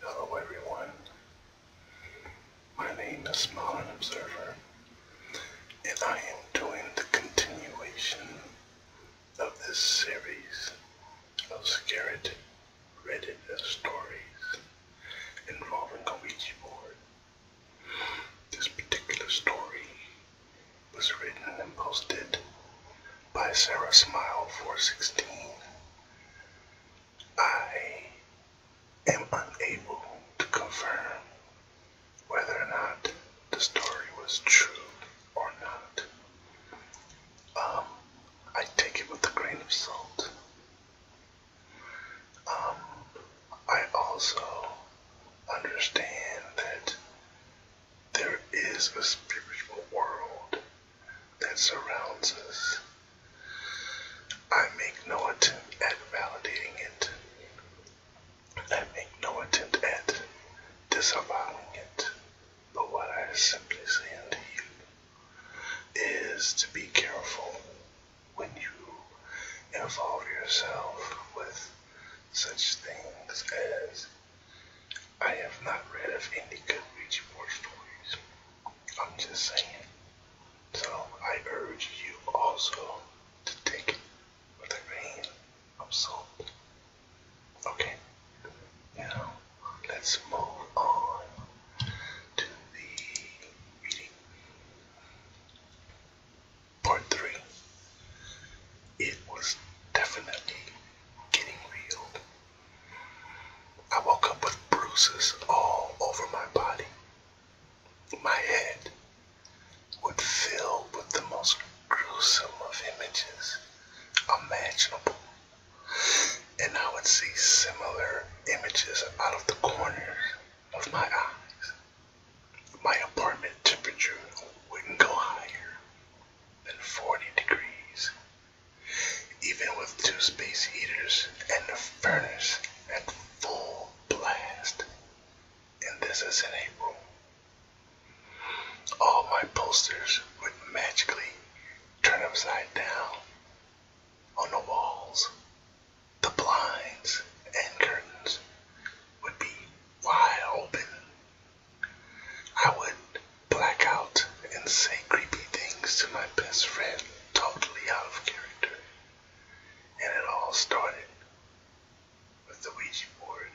Hello everyone. My name is Modern Observer, and I am doing the continuation of this series of Scared Reddit stories involving a Ouija board. This particular story was written and posted by Sarah Smile 416. I am unable to confirm whether or not the story was true or not. Um, I take it with a grain of salt. Um, I also understand that there is a spiritual world that surrounds us. I make no attempt at validating it. I make no attempt at disavowing it. But what I simply say unto you is to be careful when you involve yourself with such things as I have not read of any good Ouija war stories. I'm just saying. So I urge you also to take it with a grain of salt. Okay. Now let's move on to the reading. Part three. It was definitely getting real. I woke up with bruises all over my body. My head would fill with the most gruesome of images imaginable. And I would see similar images out of the corners of my eyes. My apartment temperature wouldn't go higher than 40 degrees even with two space heaters and a furnace at full blast. And this is in April. All my posters would magically turn upside down on the walls. The blinds and curtains would be wide open I would black out and say creepy things to my best friend, totally out of character. And it all started with the Ouija board.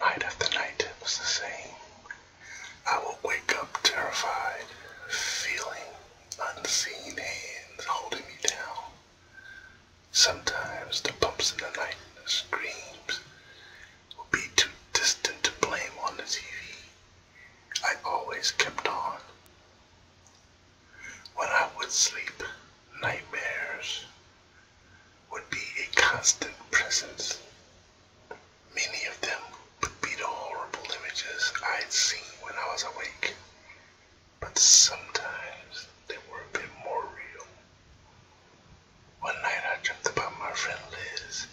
Night after night, it was the same. I would wake up terrified, feeling unseen hands holding me down. Sometimes the bumps in the night and the screams will be too distant to blame on the TV. I always kept on. When I would sleep, nightmares would be a constant presence. Many of them would be the horrible images I'd seen when I was awake, but sometimes they were a bit more real. One night I dreamt about my friend Liz.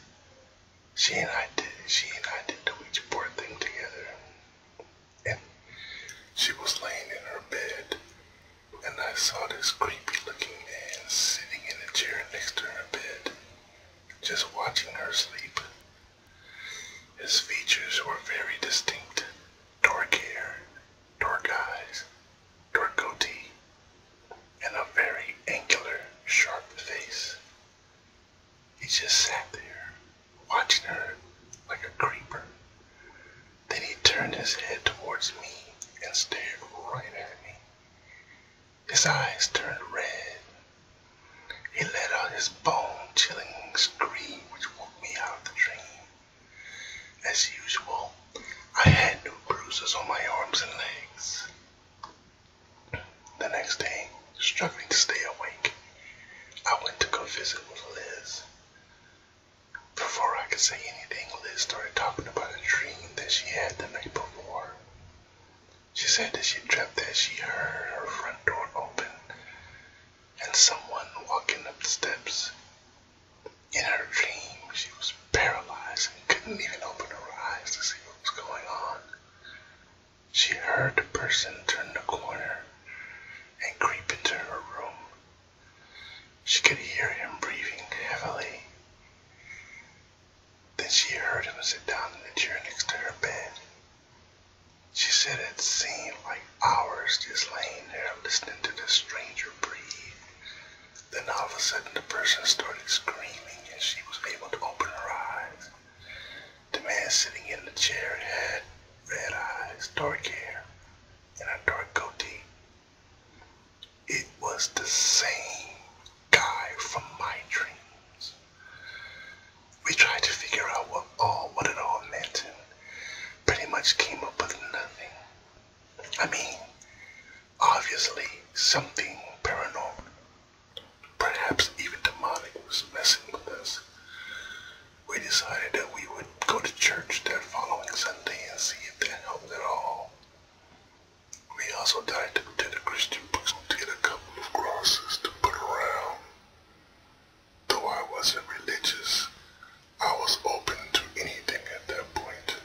She and I did she and I did the Ouija board thing together. And she was laying in her bed and I saw this creepy looking man sitting in a chair next to her bed, just watching her sleep. His features were very distinct. Dark hair, dark eyes, dark and a very angular, sharp face. He just sat there, watching her like a creeper. Then he turned his head towards me and stared right at me. His eyes turned red. He let out his bone chilling scream, which woke me out of the dream. As usual, I had no bruises on my arms and legs. The next day, struggling to stay awake, I went to go visit with Liz. Before I could say anything, Liz started talking about a dream that she had the night before. She said that she dreamt that she heard her front door open and someone walking up the steps. In her dream, she was paralyzed and couldn't even open her eyes to see what was going on. She heard the person turn the corner and creep into her room. She could hear him breathing heavily. Then she heard him sit down in the chair next to her bed. She said it seemed like hours just laying there listening to the stranger breathe then all of a sudden the person started screaming and she was able to open her eyes. The man sitting in the chair had red eyes, dark hair, and a dark goatee. It was the same guy from my dreams. We tried to figure out what all what it all meant and pretty much came up with nothing. I mean, obviously something paranormal, perhaps even demonic, was messing with us. We decided that we would go to church that following Sunday and see if that helped at all. We also died to, to the Christian bookstore to get a couple of crosses to put around. Though I wasn't religious, I was open to anything at that point.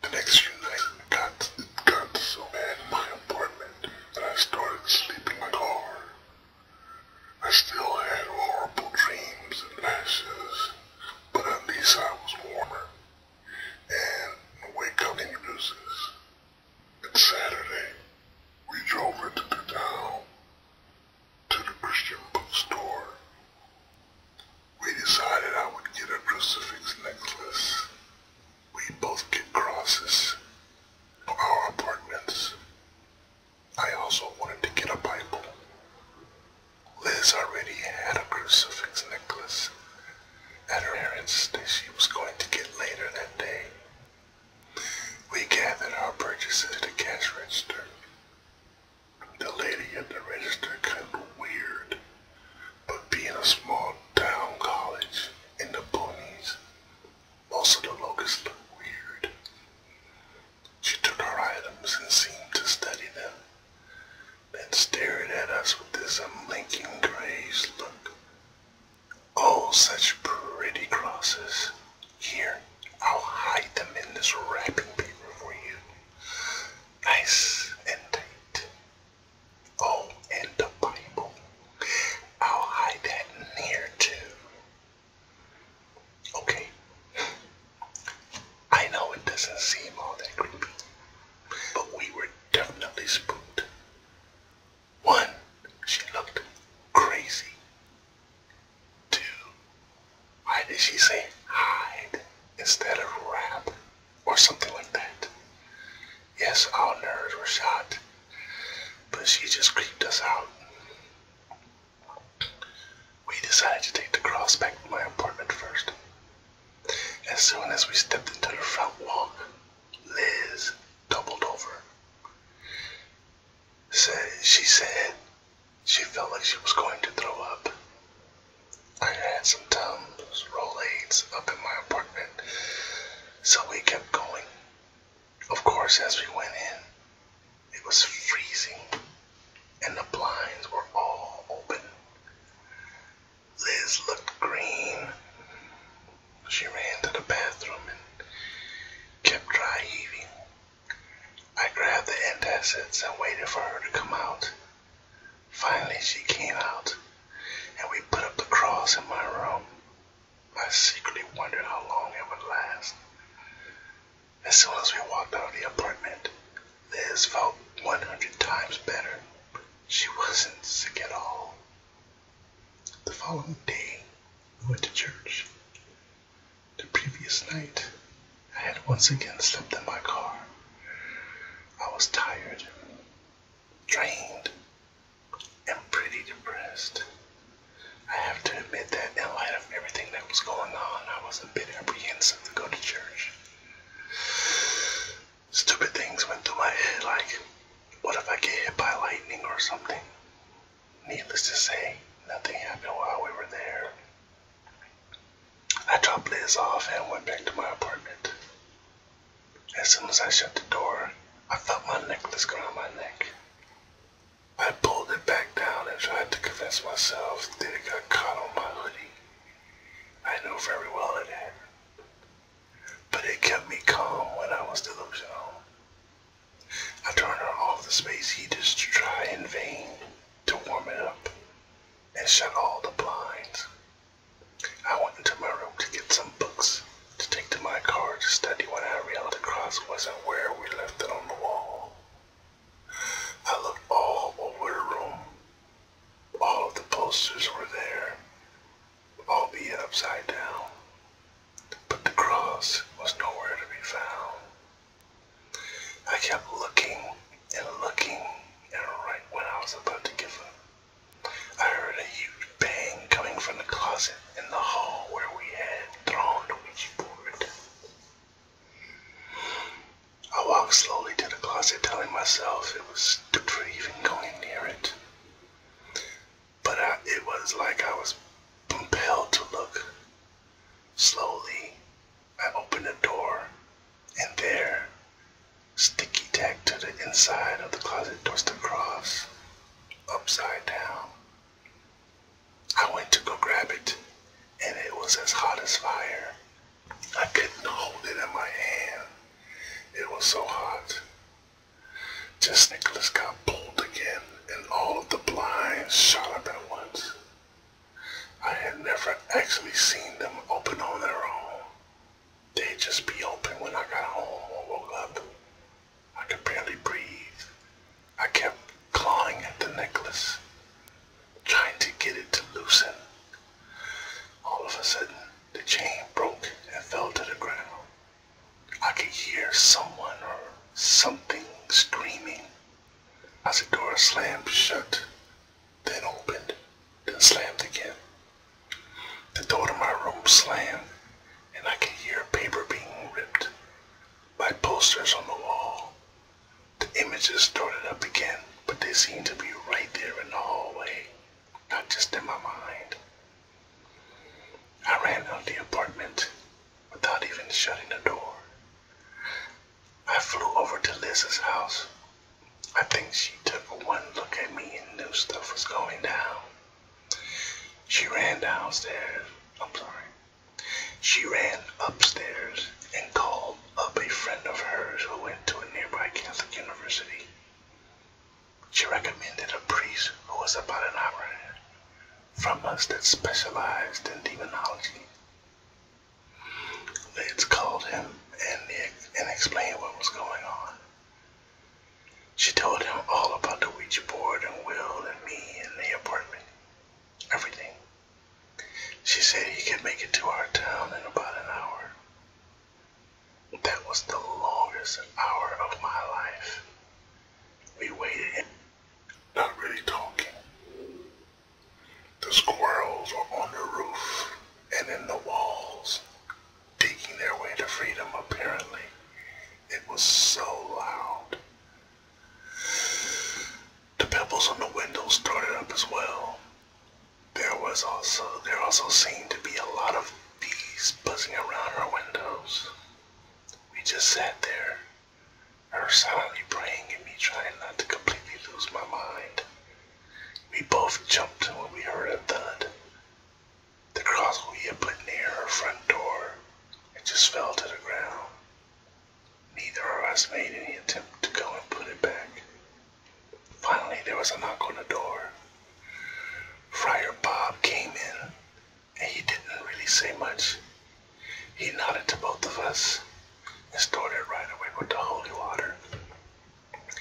The next few nights got, got so bad in my apartment that I started sleeping in the car. I still had horrible dreams and lashes, but at least I was warmer. And wake up induces. It's Saturday. We drove into the town to the Christian bookstore we decided I would get a crucifix necklace. We both get crosses for our apartments. I also wanted to get a Bible. Liz already had a crucifix necklace at her parents that she was going to get later that day. We gathered our purchases at the cash register. The lady at the register kind of weird, but being a small town college in the boonies, most of the locusts look weird. She took our items and seemed to study them, then stared at us with this unblinking grace look. Oh, such pretty crosses. Here, I'll hide them in this wrapping paper for you. Nice indeed. Oh, and the Bible. I'll hide that in too. Okay. I know it doesn't seem all that creepy, but we were definitely spooked. One, she looked crazy. Two, why did she say hide instead of wrap? or something like that. Yes, our nerves were shot, but she just creeped us out. We decided to take the cross back to my apartment first. As soon as we stepped into the front walk, Liz doubled over. Said, she said she felt like she was going to throw up. I had some Tums Rolades up in my apartment, so we kept going. Of course, as we went in, it was freezing, and the blinds were all open. Liz looked green. She ran to the bathroom and kept dry heaving. I grabbed the antacids and waited for her to come out. Finally, she came out, and we put up the cross in my room. I secretly wondered how long it would last. As soon as we walked out of the apartment, Liz felt 100 times better. She wasn't sick at all. The following day, we went to church. The previous night, I had once again slept in my car. I was tired, drained, and pretty depressed. I have to admit that, in light of everything that was going on, I was a bit apprehensive to go to church. Stupid things went through my head, like, what if I get hit by lightning or something? Needless to say, nothing happened while we were there. I dropped Liz off and went back to my apartment. As soon as I shut the door, I felt my necklace go around my neck. I pulled it back down and tried to convince myself that it got caught on my hoodie. I knew very well it had. But it kept me calm when I was delusional. I turned on all the space heaters to try in vain to warm it up and shut all the blinds. I went into my room to get some books to take to my car to study when I realized the cross wasn't where we left it on the wall. I looked all over the room. All of the posters were there, all albeit upside down, but the cross was nowhere to be found. I kept looking and looking and right when I was about to give up, I heard a huge bang coming from the closet in the hall where we had thrown the Ouija board. I walked slowly to the closet, telling myself it was stupid for even going near it. But it was like I was compelled to look. Slowly, I opened the door, and there, sticky tacked to the inside of the closet was the cross, upside down. I went to go grab it, and it was as hot as fire. I couldn't hold it in my hand. It was so hot. Just Nicholas got pulled again, and all of the blinds shot up at once. I had never actually seen them open on their own. They'd just be open when I got home or woke up. I could barely breathe. I kept clawing at the necklace, trying to get it to loosen. All of a sudden, the chain broke and fell to the ground. I could hear someone or something screaming as the door slammed shut then opened, then slammed again. The door to my room slammed, and I could hear paper being ripped. My posters on the wall. The images started up again, but they seemed to be right there in the hallway, not just in my mind. I ran out of the apartment without even shutting the door. I flew over to Liz's house I think she took one look at me and knew stuff was going down. She ran downstairs. I'm sorry. She ran upstairs and called up a friend of hers who went to a nearby Catholic university. She recommended a priest who was about an hour from us that specialized in demonology. Lids called him and, and explained what was going on. She told him all about the Ouija and Will and me and the apartment. Everything. She said he could make it to our town in about an hour. That was the longest hour of my life. We waited, not really talking. The squirrels are on the roof and in the walls, digging their way to freedom, apparently. It was so loud. The pebbles on the windows started up as well. There was also, there also seemed to be a lot of bees buzzing around our windows. We just sat there, her silently praying and me trying not to completely lose my mind. We both jumped when we heard a thud. The cross we had put near our front door it just fell to the ground. Neither of us made any attempt to go and put it back. Finally, there was a knock on the door. Friar Bob came in, and he didn't really say much. He nodded to both of us and started right away with the holy water.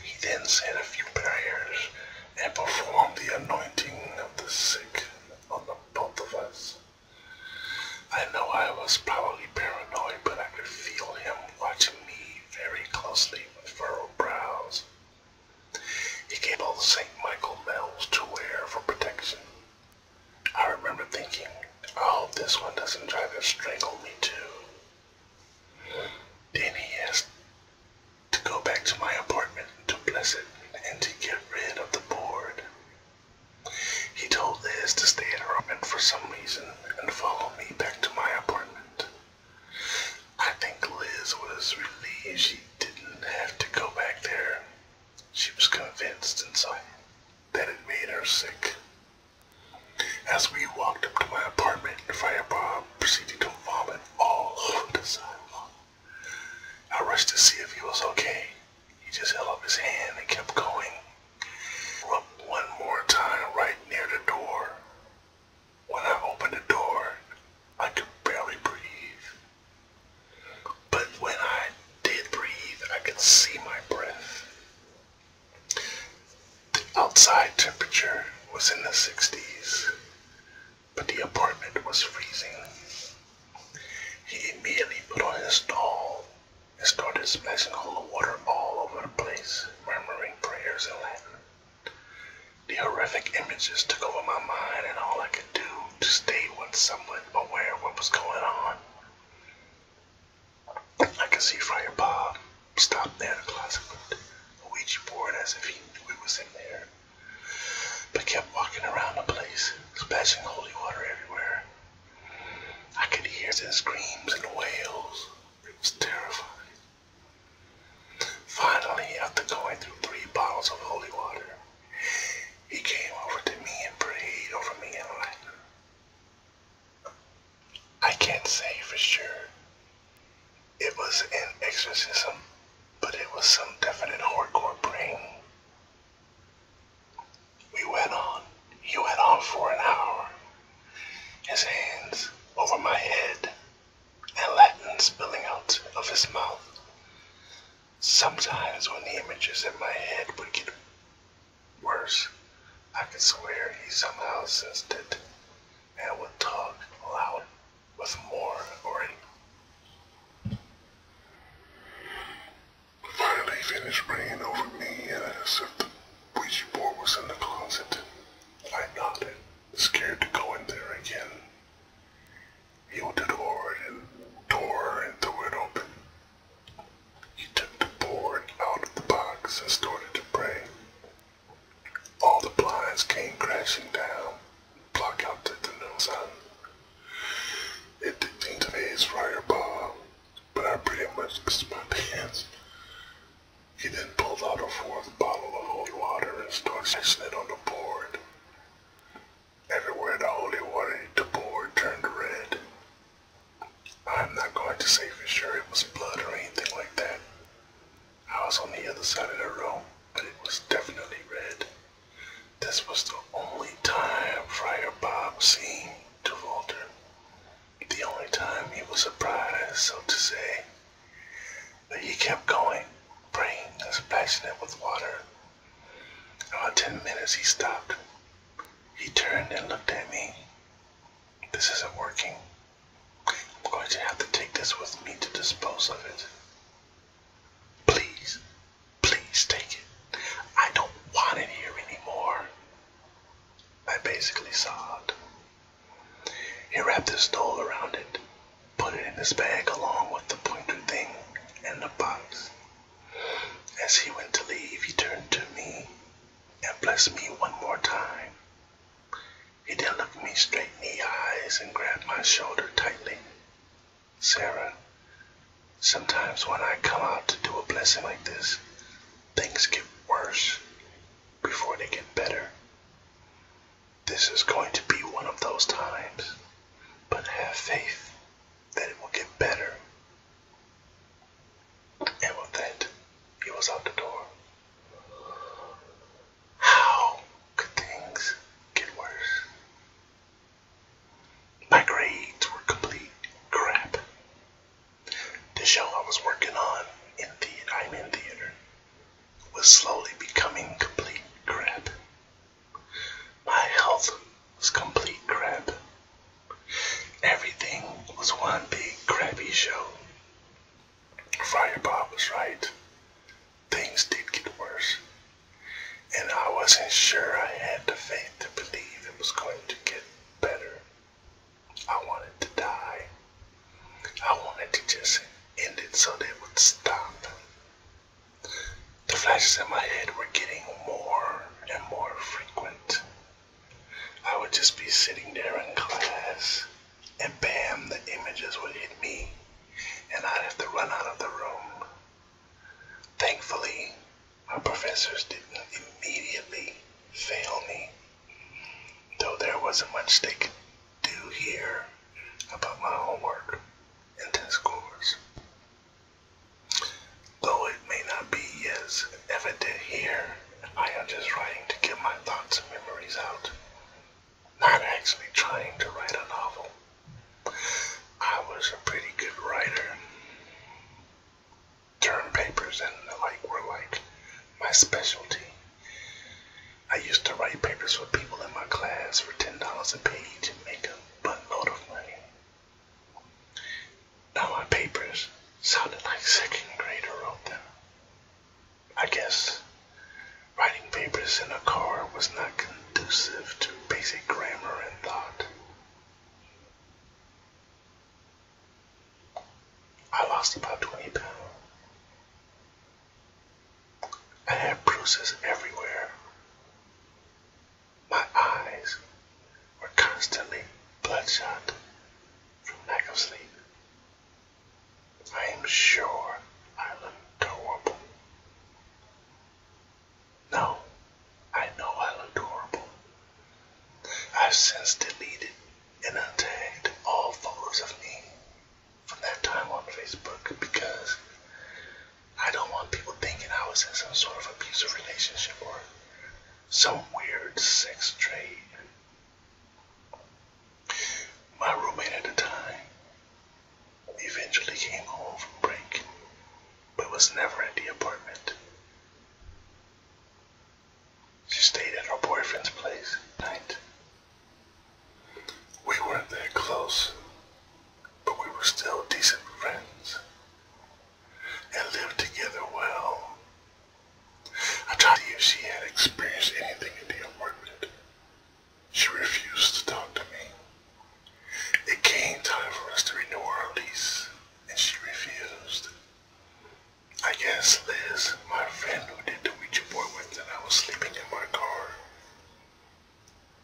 He then said a few prayers and performed the anointing of the sick on both of us. I know I was probably paranoid, but I could feel him watching me very closely with furrowed brows. He gave all the St. Michael bells to wear for protection. I remember thinking, I oh, hope this one doesn't try to strangle me too. Then he asked to go back to my apartment to bless it and to get rid of the board. He told Liz to stay in her apartment for some reason and follow me back to my apartment. I think Liz was relieved she didn't have to go back there. She was convinced inside that it made her sick. As we walked up to my apartment, Fire Fireball proceeded to vomit all over the sidewalk. I rushed to see if he was okay. He just held up his hand and kept going. Up one more time right near the door. When I opened the door, I could barely breathe. But when I did breathe, I could see my breath. The outside temperature was in the 60s, but the apartment was freezing. He immediately put on his towel and started splashing holy water all over the place, murmuring prayers in Latin. The horrific images took over my mind, and all I could do to stay was somewhat aware of what was going on. I can see Friar Bob stopped near the closet with a Ouija board as if he knew it was in there, but kept walking around the place, splashing holy water everywhere. I could hear the screams and the wails. It was terrifying. Finally, after going through three bottles of holy water, he came over to me and prayed over me in Latin. I can't say for sure it was an exorcism, but it was some definite hardcore brain. We went on. He went on for an hour. His hands over my head and Latin spilling out of his mouth. Sometimes when the images in my head would get worse, I could swear he somehow sensed it and would talk loud with more already. Finally finished ringing over me and as if the Ouija board was in the closet. I nodded, scared to go in there again. He opened the door and, door and threw it open. He took the board out of the box and started to pray. All the blinds came crashing down, blocking out the, the noon sun. It didn't seem to be his fireball, but I pretty much pissed my pants. He then pulled out a fourth bottle of holy water and started splashing it on the board. Everywhere the holy water hit the board turned red. I'm not going to say for sure it was blood or anything like that, I was on the other side of the room, but it was definitely red. This was the only time Friar Bob seemed to falter. The only time he was surprised, so to say. But he kept going, praying as splashing it with water. About ten minutes he stopped. He turned and looked at me. This isn't working, I'm going to have to take this with me to dispose of it. Please, please take it. I don't want it here anymore. I basically sobbed. He wrapped his stole around it, put it in his bag along with the pointer thing and the box. As he went to leave, he turned to me and blessed me one more time. He then looked me straight in the eyes and grabbed my shoulder tightly. Sarah, sometimes when I come out to do a blessing like this, things get worse before they get better. This is going to be one of those times, but have faith that it will get better. And with that, he was out the door. How could things get worse? My grades were complete crap. The show I was working on in theater, i theater, was slowly becoming complete crap. My health was complete crap. Everything was one big crappy show. Firepaw was right. Things did get worse. And I wasn't sure I had the faith to believe it was going to get better. I wanted to die. I wanted to just end it so they would stop. The flashes in my head were getting more and more frequent. I would just be sitting there in class and bam, the images would hit me, and I'd have to run out of the room. Thankfully, my professors didn't immediately fail me, though there wasn't much they could do here about my homework and test scores. Though it may not be as evident here, I am just writing to get my thoughts and memories out not actually trying to write a novel. I was a pretty good writer. Term papers and the like were like my specialty. I used to write papers for people in my class for $10 a page and make a buttload of money. Now my papers sounded like second graders wrote them. I guess writing papers in a car was not conducive to basic grammar and thought. I lost about 20 pounds. I had bruises everywhere. My eyes were constantly bloodshot from lack of sleep. I'm sure I'm adorable. No, I know I'm adorable. I've since deleted and untagged all photos of me from that time on Facebook because I don't want people thinking I was in some sort of abusive relationship or some weird sex trade. My roommate at the time eventually came home from break, but was never at the apartment. She stayed at her boyfriend's place at night. We weren't that close, but we were still decent friends and lived together well. I tried to she had experienced anything in the apartment, she refused to talk to me. It came time for us to renew our lease, and she refused. I guess Liz, my friend who did the Ouija board with and I was sleeping in my car,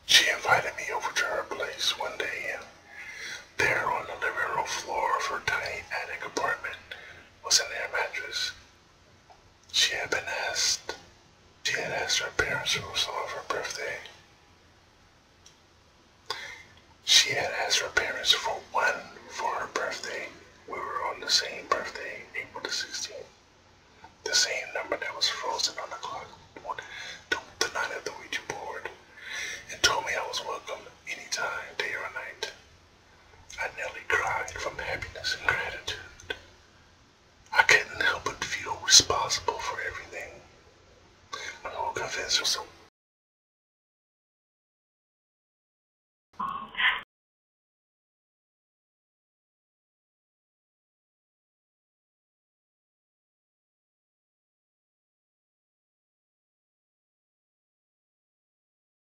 she invited me over to her place one day, there on the living room floor of her tiny attic apartment was an air mattress. She had been asked. She had asked her parents who was on her birthday. She had asked her parents for one for her birthday. We were on the same birthday, April the 16th. The same number that was frozen on the clock the night of the Ouija board and told me I was welcome any time, day or night. I nearly cried from happiness and gratitude. I can not help but feel responsible for everything. My whole confession was so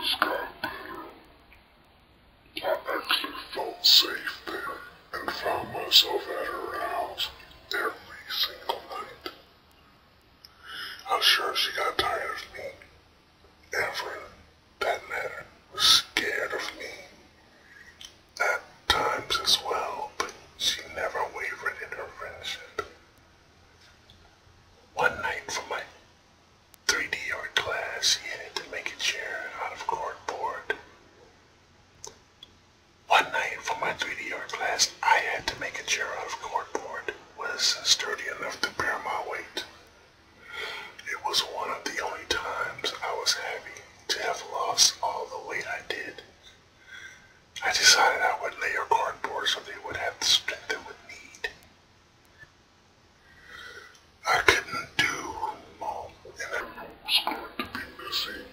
This got better. I actually felt safe there and found myself at her house every single night. I'm sure she got tired of me. Everyone, that matter, was scared of me at times as well, but she never wavered in her friendship. One night for my 3D art class, she had to make a chair out of cardboard. One night for my 3D art class, I had to make a chair out of cardboard. Was sturdy enough to bear my weight. It was one of the only times I was happy to have lost all the weight I did. I decided I would lay layer cardboard so they would have the strength they would need. I couldn't do mom, and I was going to be missing.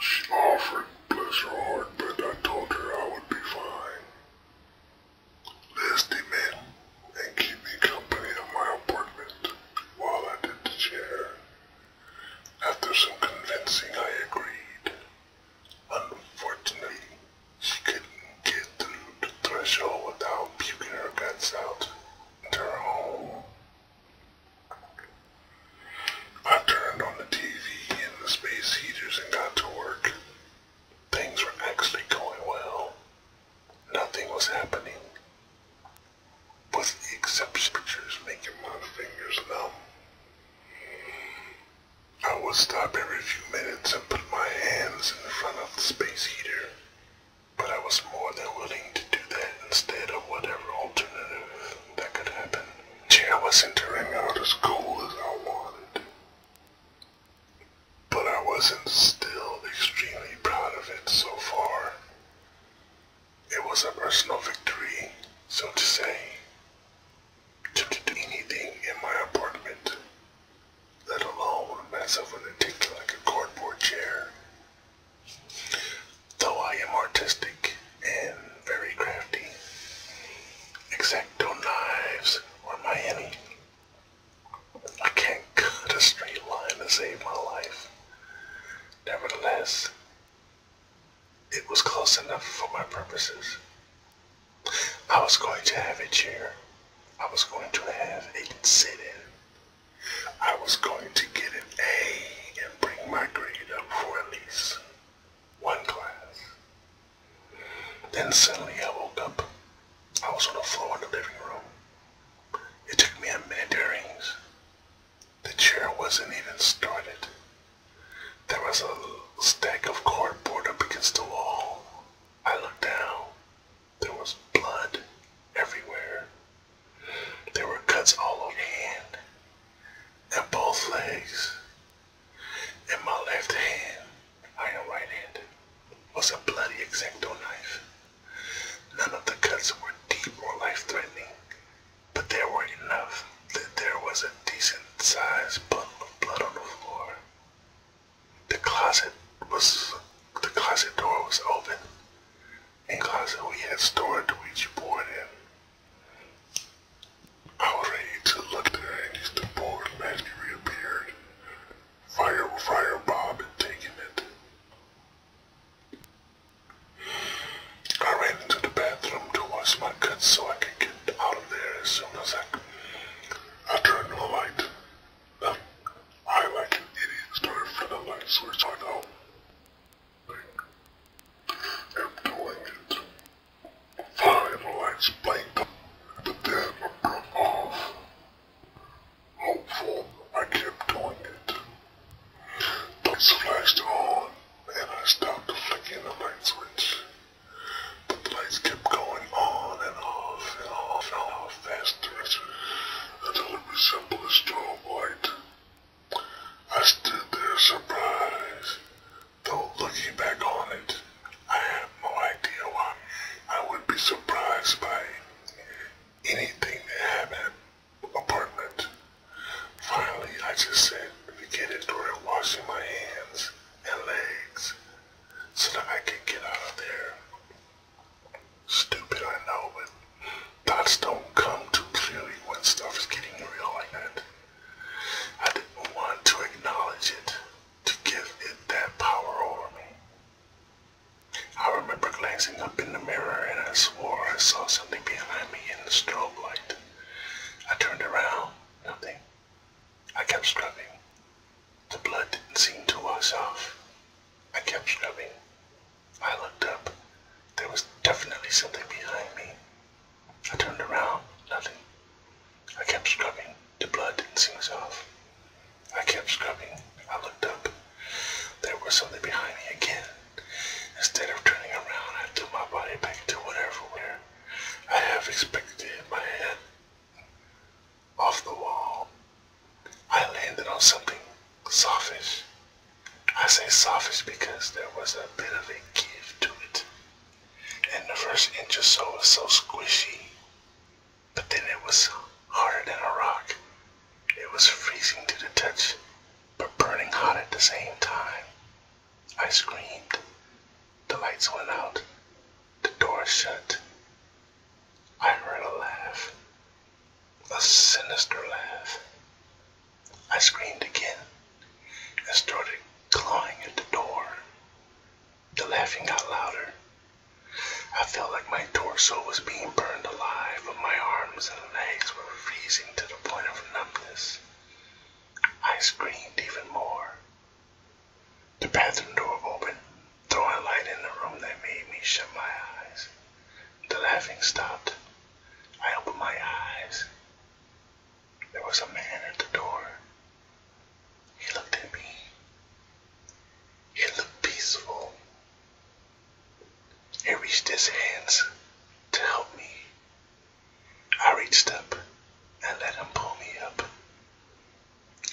She offered, bless her heart, but I told her I would be fine. Liz demanded and keep me company in my apartment while I did the chair. After some convincing, I agreed. Unfortunately, she couldn't get through the threshold without puking her guts out into her home. I turned on the TV and the space heaters and got to work. Things were actually going well. Nothing was happening but he accepts pictures making my fingers numb. I would stop every few minutes and put my hands in front of the space heater, but I was more than willing to do that instead of whatever alternative that could happen. Gee, I wasn't turning out as cool as I wanted, but I wasn't still extremely proud of it so far. It was a personal victory, so to say. To anything in my apartment, let alone mess up with a like a cardboard chair. Though I am artistic and very crafty, exacto knives are my enemy. I can't cut a straight line to save my life. Nevertheless, it was close enough for my purposes. I was going to have a chair. I was going to have a sit-in. I was going to get an A and bring my grade up for at least one class. Then suddenly I woke up. I was on the floor in the living room. It took me a minute to realize. The chair wasn't even started. There was a stack of cardboard up against the wall. I looked down. There was blood everywhere. There were cuts all over my hand and both legs. In my left hand, I my right hand, was a bloody exacto knife. None of the cuts were deep or life-threatening but there were enough that there was a decent sized puddle of blood on the floor. The closet was the closet door was open. In closet we had stored the Ouija board in. I was ready to look there, and as the board magically reappeared. Fire fire Bob had taken it. I ran into the bathroom to wash my guts so I could get out of there as soon as I could. I turned the light. Then I, like an idiot, started for the light switch on out. After doing it, finally lights blinked, but then it broke off. Hopeful, I kept doing it. Lights flashed on, and I stopped flicking the light switch. But the lights kept going on and off and off and off faster until it resembled a strobe light. I stood there surprised, though looking back on it, I have no idea why I would be surprised by anything that happened apartment. Finally, I just said, get it during washing my hands and legs so that I could get out of there. Stupid, I know, but thoughts don't come too clearly when stuff is getting real like that. I didn't want to acknowledge it, to give it that power over me. I remember glancing up in the mirror and I swore I saw something behind me in the store light. I turned around, nothing. I kept scrubbing. The blood didn't seem to wash off. I kept scrubbing. I looked up. There was definitely something behind me. I turned around, nothing. I kept scrubbing. The blood didn't seem to wash off. I kept scrubbing. I looked up. There was something behind me again. Instead of turning around, I threw my body back to whatever where I have expected to my head off the wall. I landed on something softish. I say softish because there was a bit of a give to it. And the first inch or so was so squishy. But then it was harder than a rock. It was freezing to the touch but burning hot at the same time. I screamed. The lights went out. The door shut. I heard a laugh. A sinister laugh. I screamed again and started clawing at the door. The laughing got louder. I felt like my torso was being burned alive, but my arms and legs were freezing to the the point of numbness, I screamed even more. The bathroom door opened, throwing light in the room that made me shut my eyes. The laughing stopped. I opened my eyes. There was a man at the door. He looked at me. He looked peaceful. He reached his hands to help me, I reached up and let him pull me up.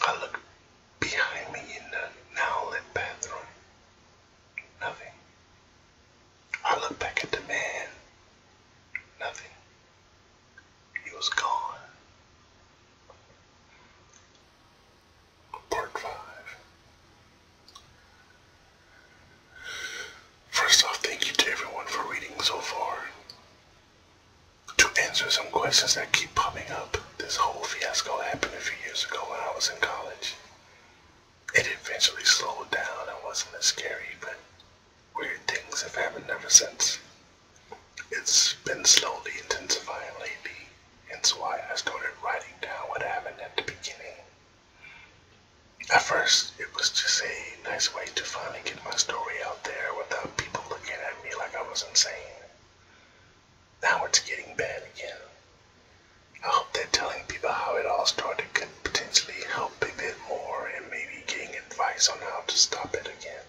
I looked behind me in the now lit bathroom. Nothing. I looked back at the man. Nothing. He was gone. Part 5 First off, thank you to everyone for reading so far. To answer some questions that keep popping up, this whole fiasco happened a few years ago when I was in college. It eventually slowed down and wasn't as scary, but weird things have happened ever since. It's been slowly intensifying lately, hence why I started writing down what happened at the beginning at first, it was just a nice way to finally get my story out there without people looking at me like I was insane. Now it's getting bad again. I hope that telling people how it all started could potentially help a bit more and maybe getting advice on how to stop it again.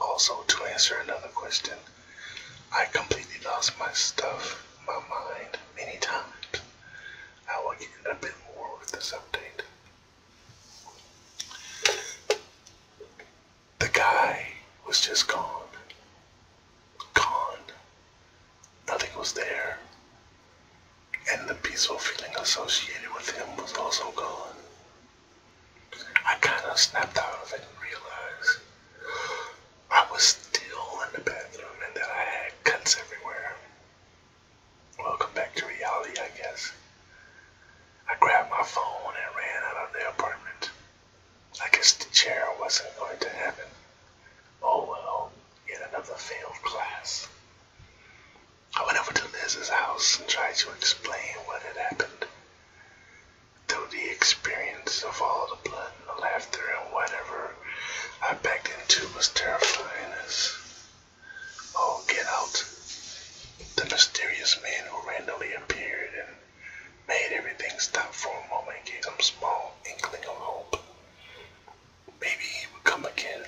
Also, to answer another question, I completely lost my stuff, my mind, many times how I ended up in war with this update. The guy was just gone. Gone. Nothing was there. And the peaceful feeling associated with him was also gone. I kind of snapped out of it and realized I was still in the bathroom and that I had cuts everywhere. Welcome back to reality, I guess. I grabbed my phone and ran out of the apartment. I guess the chair wasn't going to happen. Oh well, yet another failed class. I went over to Liz's house and tried to explain what had happened. Though the experience of all the blood and the laughter and whatever door I backed into was terrifying as all oh, get out. The mysterious man who randomly appeared and made everything stop for a moment gave some small inkling of hope. Maybe he would come again.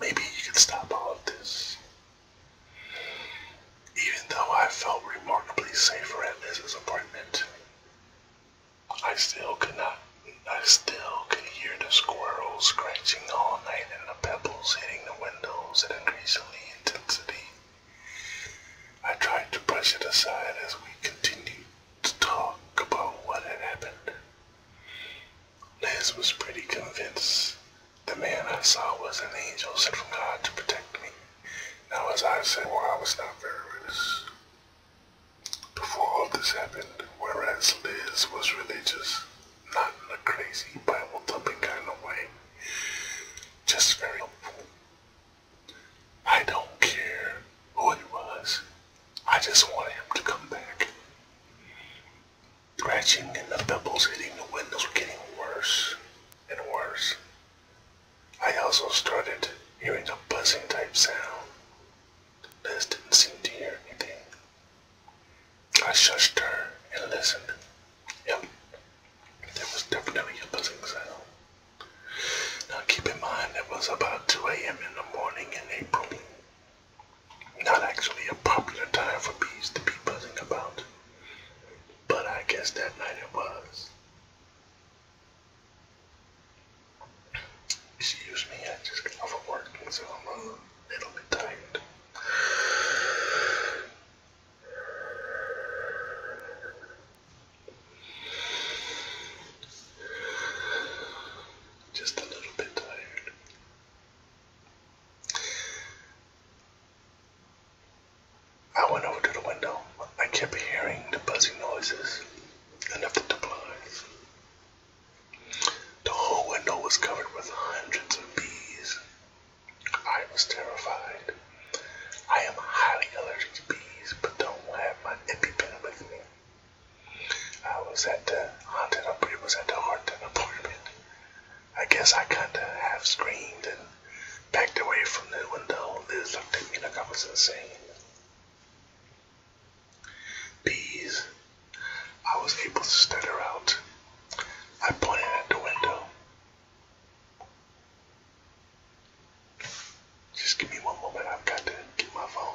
Maybe he could stop all of this. Even though I felt remarkably safer at Liz's apartment, I still could not, I still could hear the squirrels scratching all night and the pebbles hitting the windows at increasing intensity. I tried to brush it aside as we continued to talk about what had happened. Liz was pretty convinced the man I saw was an angel sent from God to protect me. Now, as I said, well, I was not very religious. Before all this happened, whereas Liz was religious, not in a crazy Bible thumping kind of way, just very helpful. I don't care who it was, I just wanted him to come back. Scratching and the pebbles hitting the windows were getting worse and worse. I also started hearing a buzzing type sound. Liz didn't seem to hear anything. I shushed her and listened. Yep, there was definitely a buzzing sound. Now keep in mind it was about 2 a.m. in the morning in April. Not actually a popular time for bees to be buzzing about, but I guess that night it was. Excuse me, I just got off of work, so I'm a little bit tired. Just a little bit tired. I went over to the window. I kept hearing the buzzing noises and the butterflies. The whole window was covered with hundreds of bees. I was terrified. I am highly allergic to bees, but don't have my EpiPen with me. I was at the haunted apartment. Was at the haunted apartment. I guess I kinda half screamed and backed away from the window. Liz looked at me like I was insane. These I was able to stutter out. I pointed at the window. Just give me one moment, I've got to get my phone.